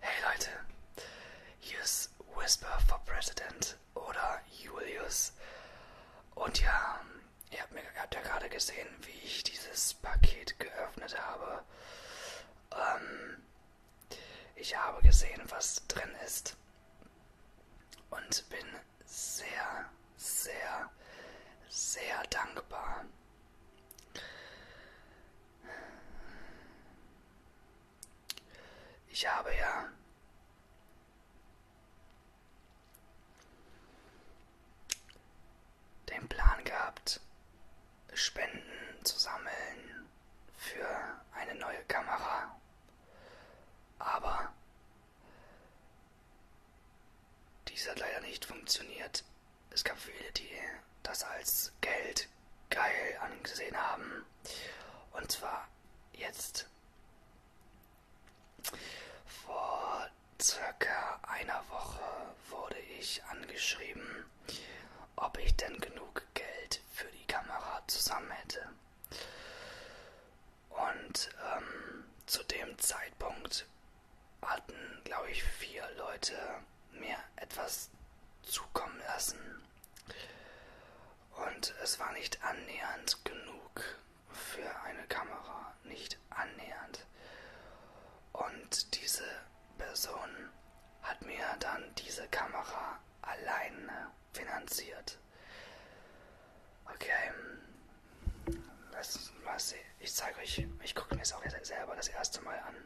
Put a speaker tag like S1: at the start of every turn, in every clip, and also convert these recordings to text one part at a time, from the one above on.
S1: Hey Leute, hier ist Whisper for President oder Julius. Und ja, ihr habt, mir, ihr habt ja gerade gesehen, wie ich dieses Paket geöffnet habe. Ähm, ich habe gesehen, was drin ist. Und bin sehr, sehr, sehr dankbar. Ich habe ja den Plan gehabt, Spenden zu sammeln für eine neue Kamera. Aber dies hat leider nicht funktioniert. Es gab viele, die das als Geld echt geil angesehen haben. Und zwar jetzt vor circa einer Woche wurde ich angeschrieben, ob ich denn genug Geld für die Kamera zusammen hätte. Und ähm, zu dem Zeitpunkt hatten, glaube ich, vier Leute mir etwas zukommen lassen. Und es war nicht annähernd genug für eine Kamera, nicht annähernd. Und diese Person hat mir dann diese Kamera alleine finanziert. Okay, lass mal sehen. Ich zeige euch, ich gucke mir es auch selber das erste Mal an.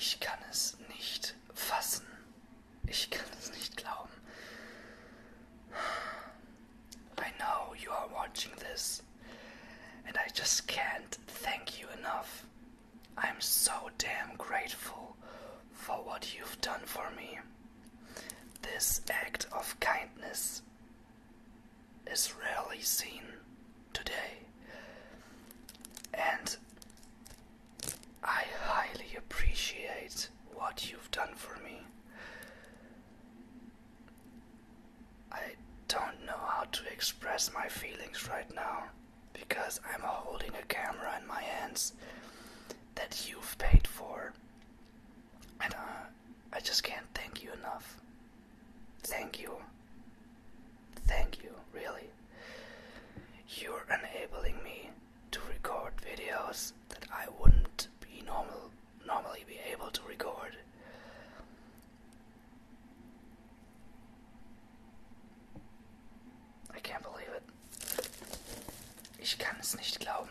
S1: I can't nicht it. Ich kann es nicht glauben. I know you are watching this, and I just can't thank you enough I'm so damn grateful for what you've done for me. This act of kindness is rarely seen today, and I highly appreciate what you've done for me. I don't know how to express my feelings right now because I'm holding a camera in my hands that you've paid for. And uh, I just can't thank you enough. Thank you. Thank you, really. You're enabling me to record videos that I wouldn't be normal normally be able to record. I can't believe it. Ich kann es nicht glauben.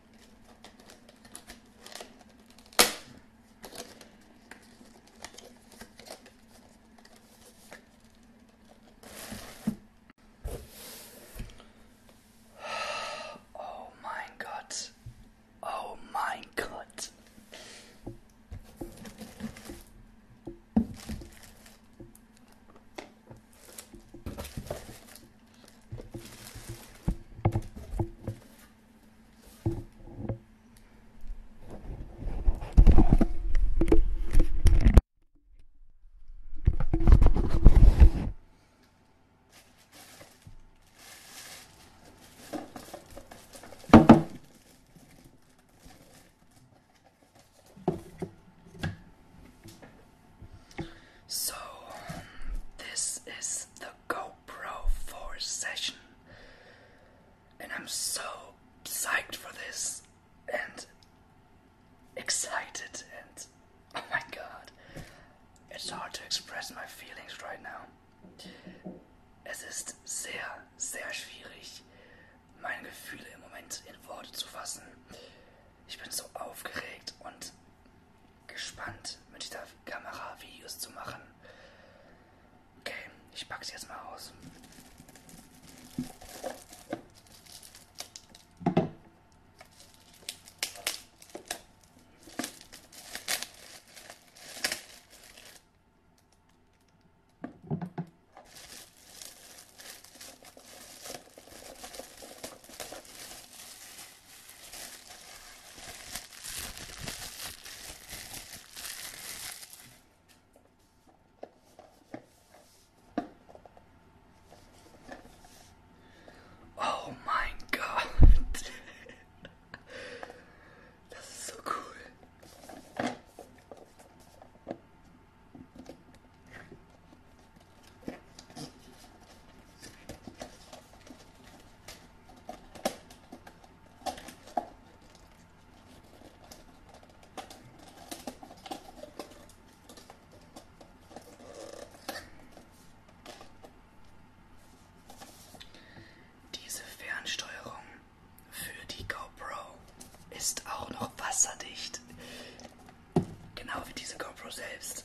S1: Oh my god. Oh my god. So, um, this is the GoPro 4 session, and I'm so psyched for this and excited. And oh my god, it's hard to express my feelings right now. Es ist sehr, sehr schwierig, meine Gefühle im Moment in Worte zu fassen. Ich bin so aufgeregt und gespannt, mit dieser Kamera Videos zu machen. Okay, ich pack's jetzt mal aus. Oh my god. That's so cool. Diese Fernsteuerung für die GoPro ist auch noch wasserdicht. Genau wie diese GoPro selbst.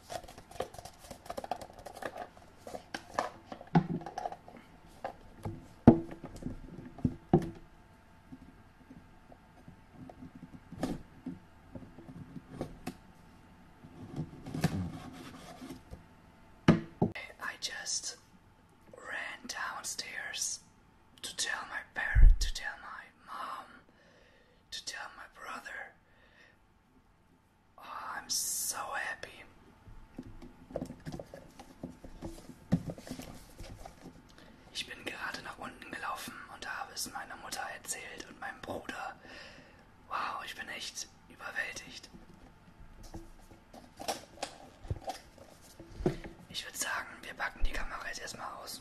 S1: I just ran downstairs to tell my parent, to tell my mom, to tell my brother Oh, I'm so happy. Ich bin gerade nach unten gelaufen und habe es meiner Mutter erzählt und meinem Bruder. Wow, ich bin echt überwältigt. Ich würde sagen, wir packen die Kamera jetzt erstmal aus.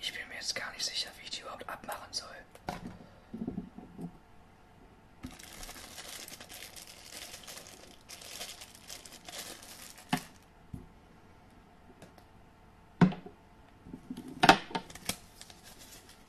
S1: Ich bin mir jetzt gar nicht sicher, wie ich die überhaupt abmachen soll.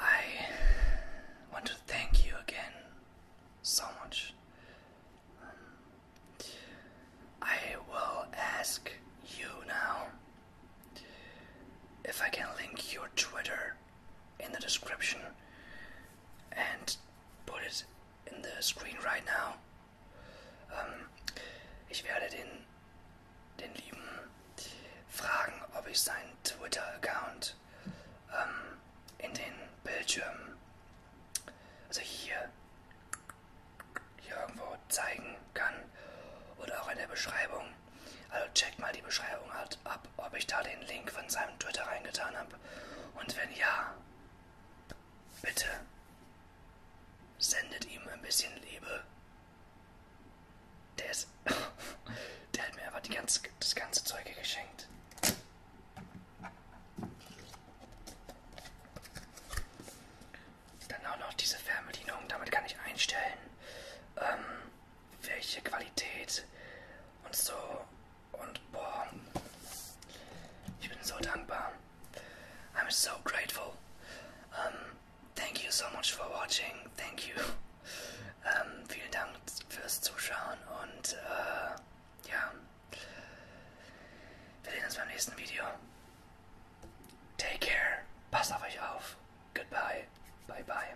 S1: I want to thank you again so much. Um, I will ask you now if I can link your Twitter in the description and put it in the screen right now. Ähm, ich werde den, den Lieben fragen, ob ich seinen Twitter-Account ähm, in den Bildschirm, also hier, hier irgendwo zeigen kann oder auch in der Beschreibung. Also checkt mal die Beschreibung halt ab, ob ich da den Link von seinem Twitter reingetan habe. Und wenn ja, Bitte sendet ihm ein bisschen Liebe. Der ist. Der hat mir aber die ganze, das ganze Zeug geschenkt. Dann auch noch diese Fernbedienung, damit kann ich einstellen, ähm, welche Qualität und so und boah, ich bin so dankbar. I'm so grateful. Um, thank you so much for watching. Thank you. Um, vielen Dank fürs Zuschauen und uh, ja, wir sehen uns beim nächsten Video. Take care. Passt auf euch auf. Goodbye. Bye bye.